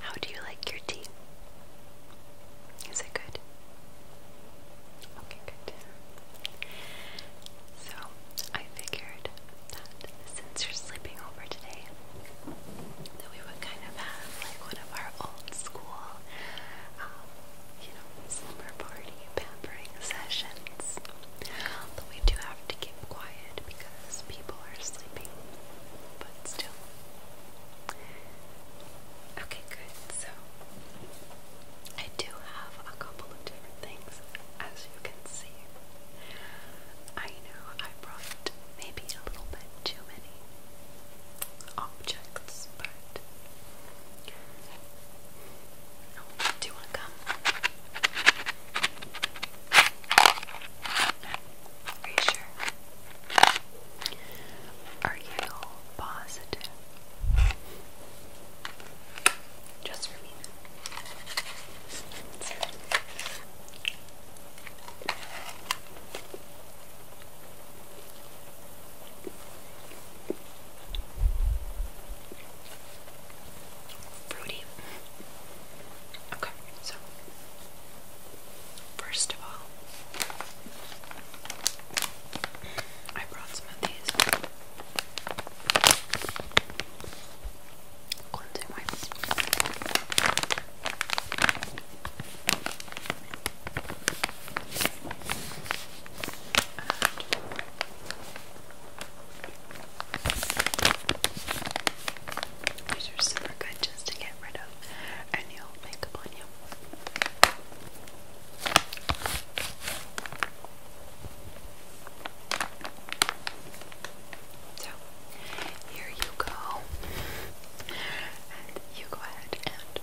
How do you like your tea? Is it good? Okay, good. So I figured since you're sleeping over today, that we would kind of have like one of our old school, um, you know, slumber party pampering sessions. But we do have to keep quiet because people are sleeping, but still. Okay, good. So, I do have a couple of different things, as you can see. I know I brought maybe a little bit too many objects, but do you want to come? Are you sure? Are you positive? Just for me Fruity. Okay, so first of all, I brought some of these cleansing these are super good just to get rid of any old makeup on you. So here you go, and you go ahead and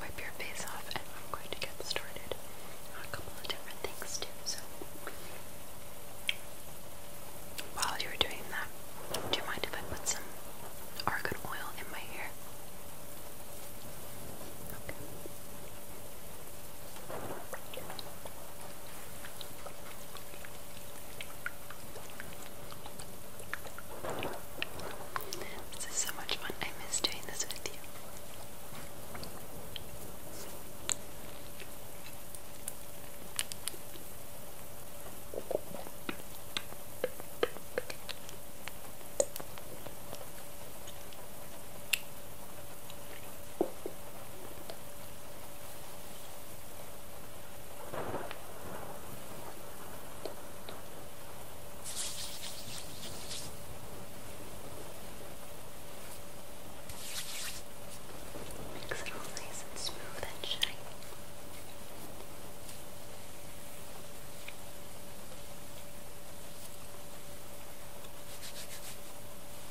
wipe your face off, and I'm going to get started on a couple of different things too. So while you're doing that, do you mind if I put some argan oil in my hair? This is so much fun. I miss doing this with you. Makes it all nice and smooth and shiny.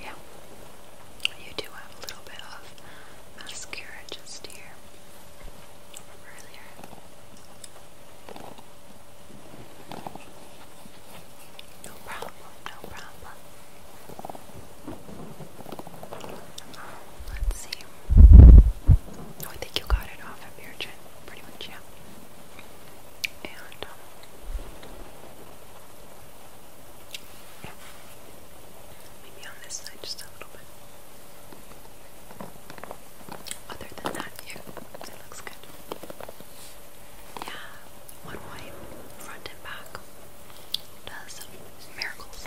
Yeah, you do have a little bit of mascara just here earlier. No problem, no problem. let's see. Oh, I think you got it off of your chin, pretty much, yeah. And, um, Maybe on this side just a little bit. Other than that, yeah, it looks good. Yeah, one wipe, front and back, does miracles.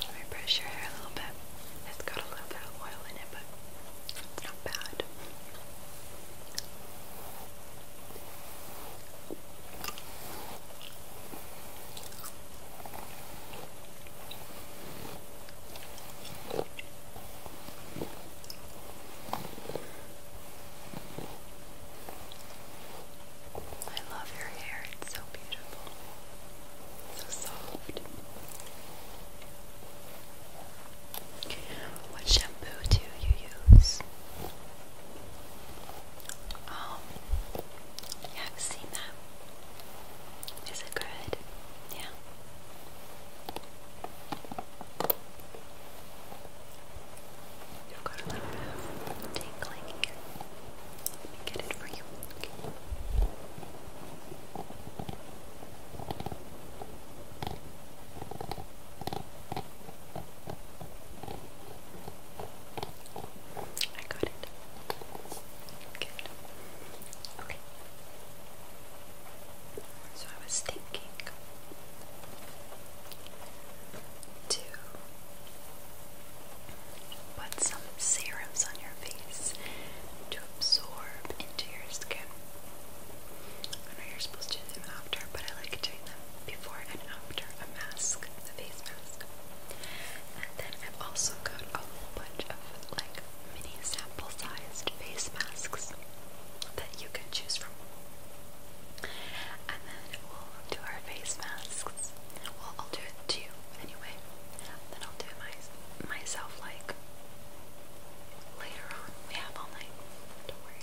Let me brush your hair a little bit. It's got a little bit of oil in it, but not bad. I love your hair, it's so beautiful, so soft. What shampoo do you use? Um, yeah, I've seen that is it good? Yeah. You've got a little tingling here. Let me get it for you. I got it. Okay. So I was thinking to put some serums on your face to absorb into your skin. I know you're supposed to do them after, but I like doing them before and after a mask, the face mask. And then i also got a whole bunch of like mini sample sized face masks that you can choose from. And then we'll do our face masks. I'll do it to you anyway. Then I'll do my myself like later on. We have all night. Don't worry.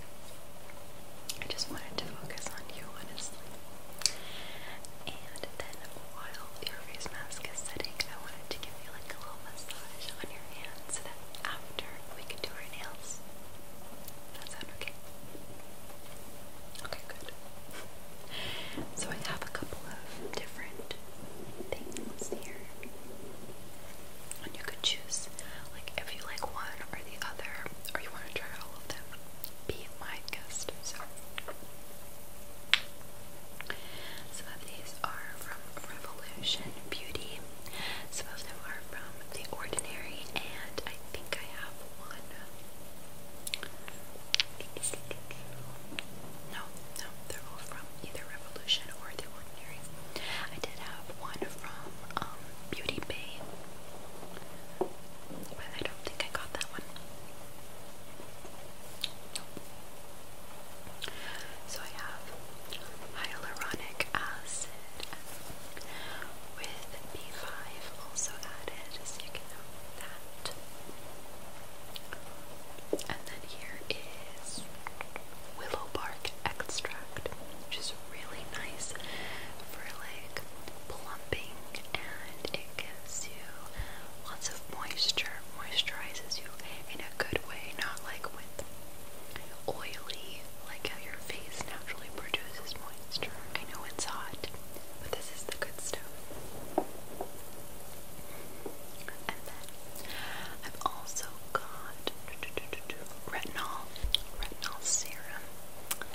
I just wanted to focus on you, honestly. And then while your face mask is setting, I wanted to give you like a little massage on your hands so that after we can do our nails. That sound okay? Okay, good. So I have a couple of different things here. And you could choose like if you like one or the other, or you want to try all of them. Be my guest. So some of these are from Revolution Beauty. Some of them are from The Ordinary, and I think I have one. No, no, they're all from either Revolution or The Ordinary. I did have one from um, Beauty Bay, but I don't think I got that one. So I have hyaluronic acid with B5 also added, so you can note that. And then here is willow bark extract, which is really nice for like plumping and it gives you lots of moisture, moisturizes you in a good way, not like with oily, like how your face naturally produces moisture. I know it's hot, but this is the good stuff. And then I've also got retinol, retinol serum.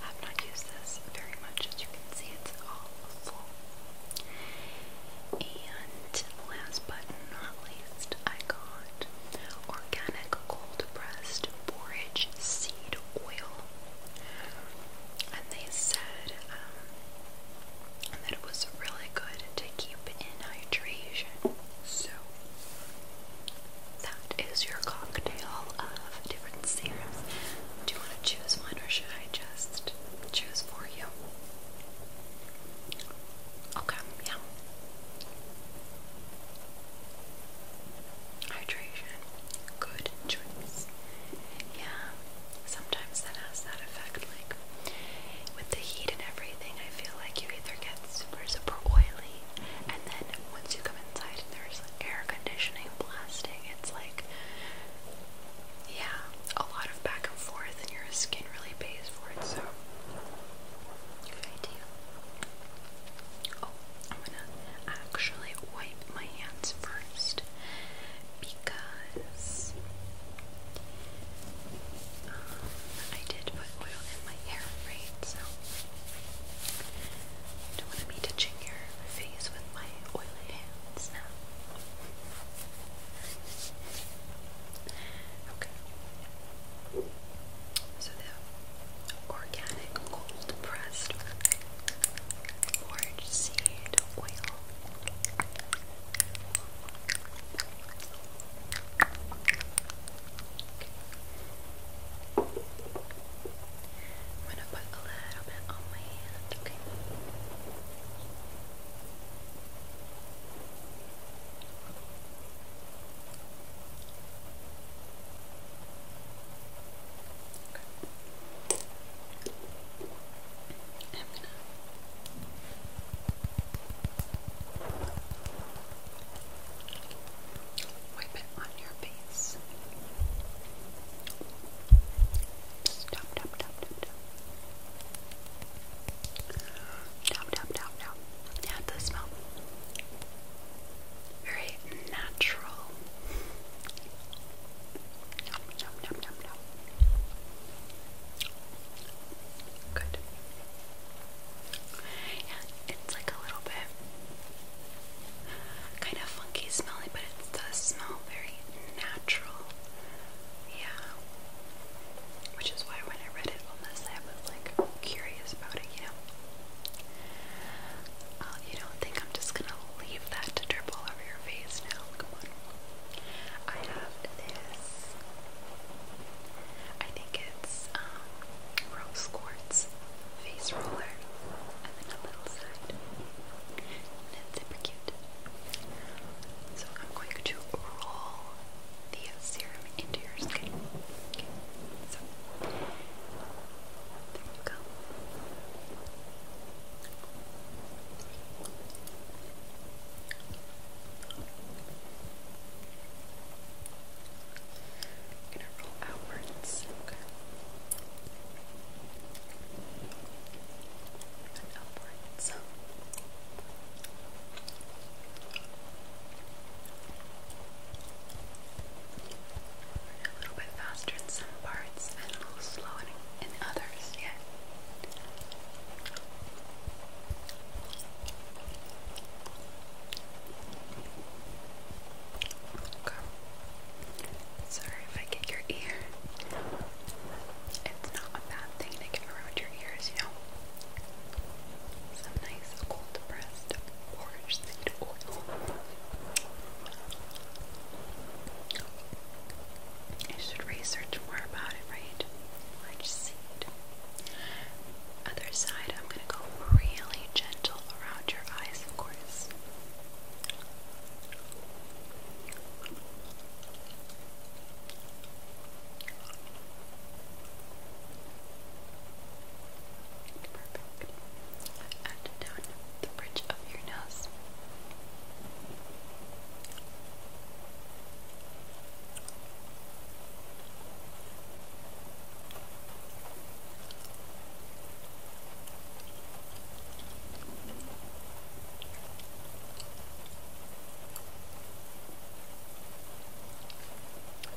I have not used this very much, as you can see, it's all and last but not least, I got organic cold pressed borage seed oil. And they said um, that it was really good to keep in hydration. So, that is your cocktail of different serums. Do you want to choose one or should I just? choose for you. Okay, yeah. Hydration. Good choice. Yeah, sometimes that has that effect. Like, with the heat and everything, I feel like you either get super, super oily, and then once you come inside and there's air conditioning blasting, it's like yeah, a lot of back and forth, and your skin really pays for it. So, good idea. Oh, I'm gonna actually wipe my hands first because um, I did put oil in my hair, right? So, don't want to be touching your face with my oily hands now. Okay. So the organic cold pressed orange seed oil. I'm gonna put a little bit on my hand, Okay. I'm gonna wipe it on your face. Stop, stop, stop, stop, stop. Down, down, down, down. Add the smell. Very natural. Good. Yeah, it's like a little bit kind of funky smelling, but it's does smell very natural. Yeah. Which is why when I read it on this, I was like curious about it, you know? Uh, you don't think I'm just gonna leave that to drip all over your face now? Come on. I have this. I think it's um, rose quartz face roller, and then a little side. And it's super cute. So I'm going to roll the serum into your skin. there you go. gonna roll outwards and Albertans. A little bit faster in some parts and a little slower in, others yet. Okay. Sorry if I get your ear. It's not a bad thing to get around your ears, you know. Some nice cold pressed orange seed oil. I should research more about it, right? Orange seed. Other side, I'm gonna go really gentle around your eyes, of course. Perfect. And down the bridge of your nose.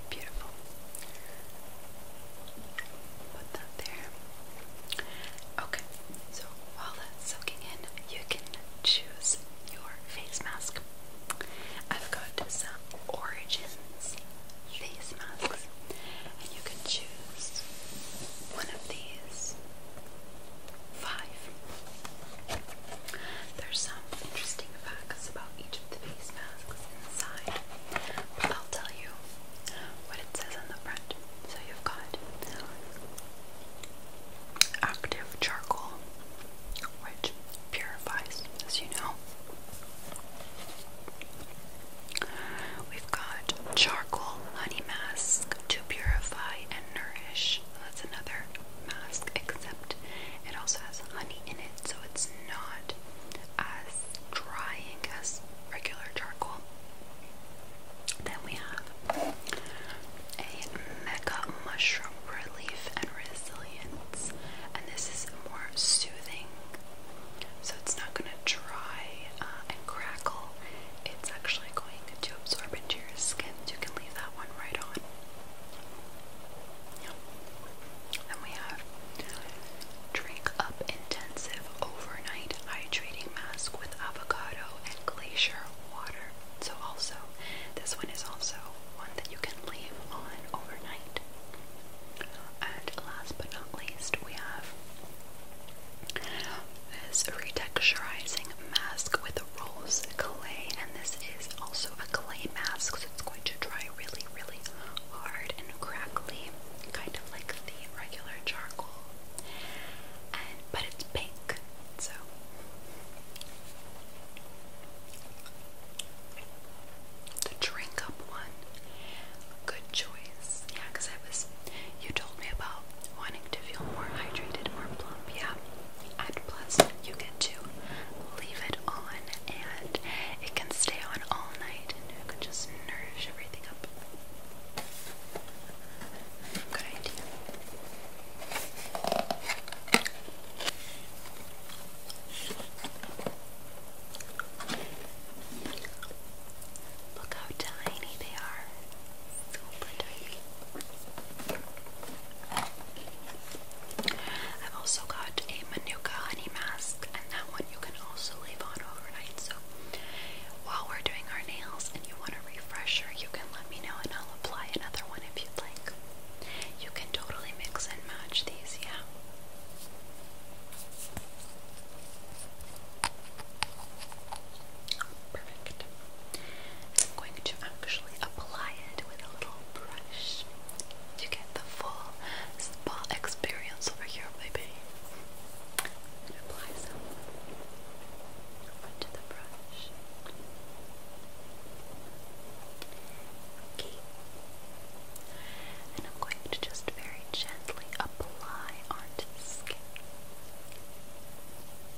Beautiful. Put that there. Okay, so while that's soaking in, you can choose your face mask. I've got some Origins face masks, and you can choose one of these. Five. There's some interesting facts about each of the face masks inside, but I'll tell you what it says on the front. So you've got active charcoal, which purifies, as you know. We've got charcoal honey mask to purify and Nourish. That's another mask, except it also has honey in it, so it's not as drying as regular charcoal. Then we have a Mega Mushroom Relief and Resilience, and this is more soothing, so it's not going to dry uh, and crackle it's actually going to absorb into your skin. so You can leave that one right on. Then we have Drink Up Intensive Overnight Hydrating Mask with Avocado and Glacier Water. So, also, this one is also one that you can leave on overnight. And last but not least, we have this retexturizing mask with rose clay, and this is also a clay mask, so it's going to dry really, really hard and crackly, kind of like the regular charcoal. And but it's pink, so. The drink up one, good choice. Yeah, because I was, you told me about Wanting to feel more hydrated or plump, yeah. And plus, you get to leave it on and it can stay on all night and it can just nourish everything up. Good idea. Look how tiny they are. I've also got a Manuka honey mask, and that one you can also leave on overnight. So while we're doing our nails and you want a refresher, you can let me know and I'll apply another one if you'd like. You can totally mix and match these, yeah. Perfect. I'm going to actually apply it with a little brush to get the full spa experience over here, baby. apply some onto the brush. And I'm going to just very gently apply onto skin.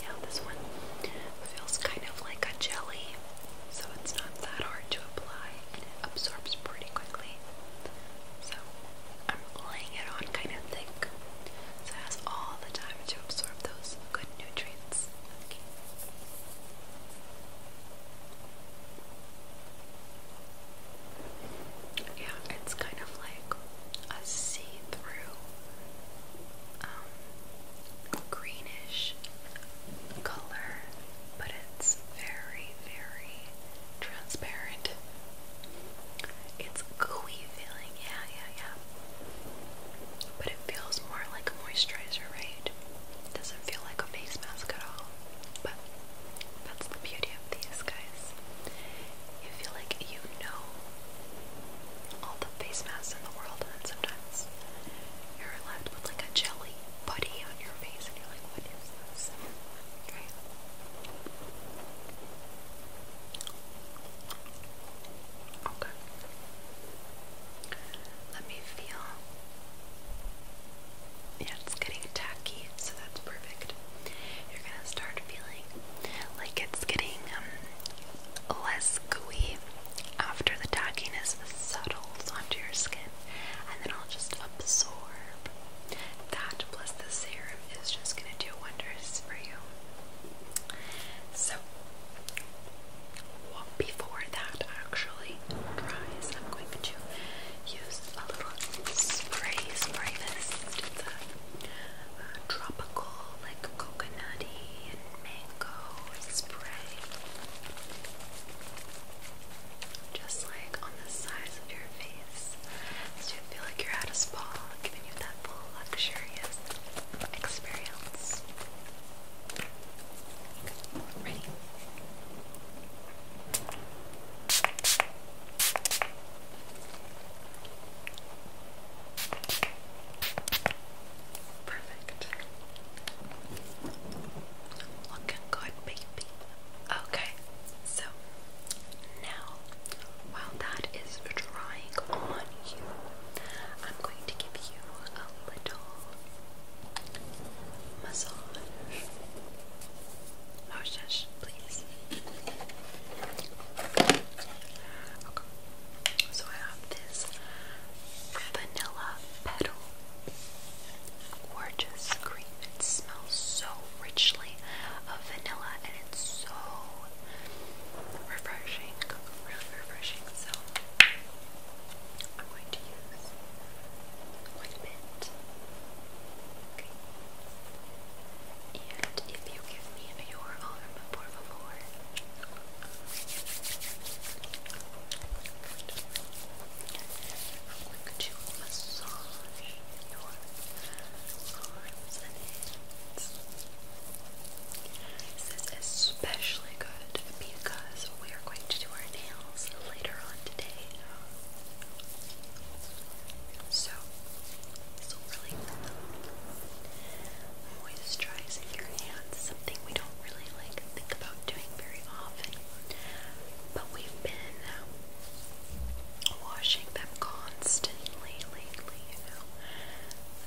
Yeah, this one feels kind of like a jelly, so it's not that hard to apply and it absorbs pretty quickly. So I'm laying it on kind of thick, so it has all the time to absorb those good nutrients. Yeah, it's kind of like a see-through um, greenish color, but it's very, very transparent. It's gooey feeling, yeah, yeah, yeah. But it feels more like a moisturizer, right? doesn't feel like a face mask at all. But that's the beauty of these guys you feel like you know all the face masks in the world, and then sometimes you're left with like a jelly putty on your face, and you're like, what is this? Right? Okay. Let me feel. Yeah, it's getting tacky, so that's perfect. You're gonna start feeling like it's getting um, less gooey after the tackiness settles onto your skin, and then I'll just absorb that. Plus, the serum is just gonna do wonders for you. So, before that actually dries, I'm going to use a little spray. Spray this. It's uh, tropical, like coconutty and mango spray. Just like on the sides of your face, so you feel like you're at a spa, giving you that full luxurious experience. Ready? Perfect. Looking good, baby. Okay, so now while that is drying on you, I'm going to give you a little massage. Oh, shush, please. Okay. So I have this vanilla petal. Gorgeous cream. It smells so richly of vanilla and it's so refreshing. Really refreshing. So I'm going to use quite a Okay. And if you give me your arm, por favor. Good. Could you massage your arms and hands? This is especially good because we are going to do our nails later on today. So, so really moisturizing your hands, something we don't really like think about doing very often. But we've been washing them constantly lately, you know.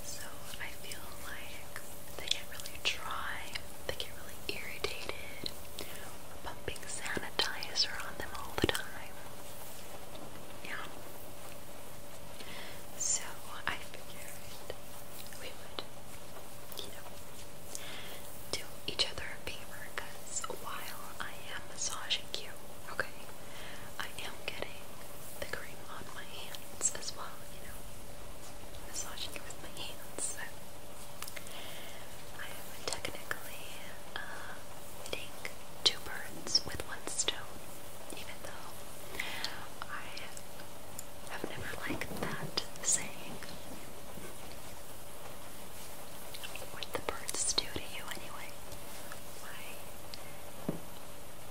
So I feel like they get really dry, they get really irritated. We're pumping sanitizer them all the time. Yeah. So I figured we would, you know, do each other a favor because while I am massaging you, okay, I am getting the cream on my hands as well, you know, massaging it with my hands. So I am technically uh, hitting two birds with one stone even though I have never liked that saying. What the birds do to you, anyway. Why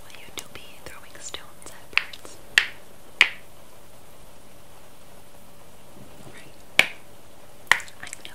will you do be throwing stones at birds? I know.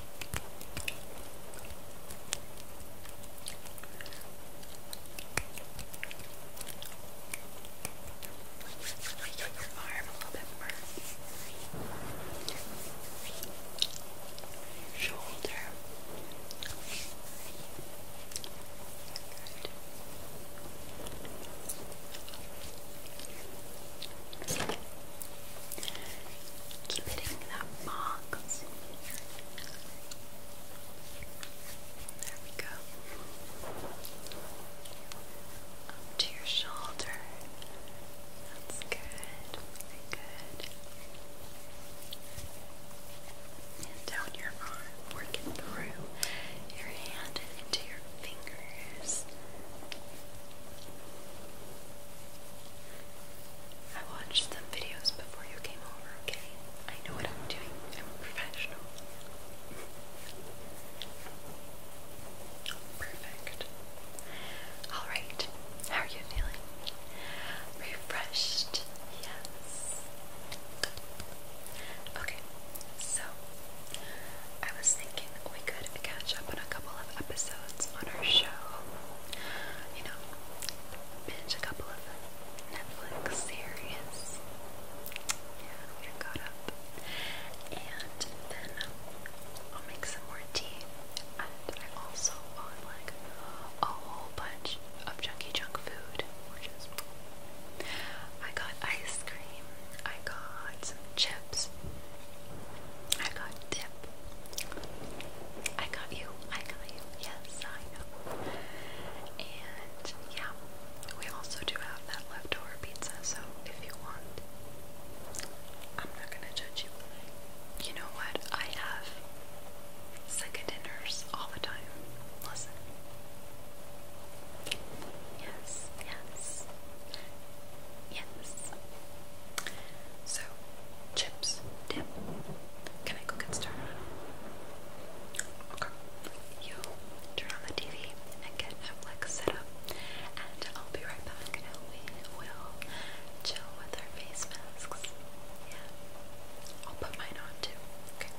Get your arm a little bit more. Shoulder. Good. Keep it in that box. There we go. Up to your shoulder. That's good. good. And down your arm, working through your hand into your fingers. I watched some videos before you came over, okay? I know what I'm doing. I'm professional. Perfect. Alright, how are you feeling? Refreshed? Yes. Okay, so I was thinking we could catch up on a couple of episodes on our show. You know, binge a couple of Netflix series. Yeah, we're up. And then I'll make some more tea. And I also want like a whole bunch of junky junk food, I got ice cream, I got some chips. I got tip. I got you. I got you. Yes, I know. And yeah, we also do have that leftover pizza, so if you want, I'm not gonna judge you. You know what? I have second dinners all the time. Listen. Yes, yes. Yes. So, chips, dip. Can I go get started? Okay. You turn on the TV and get Netflix set up, and I'll be right back. we will chill with our face masks. Yeah. I'll put mine on too. Okay.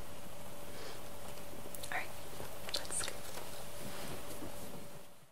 Alright, let's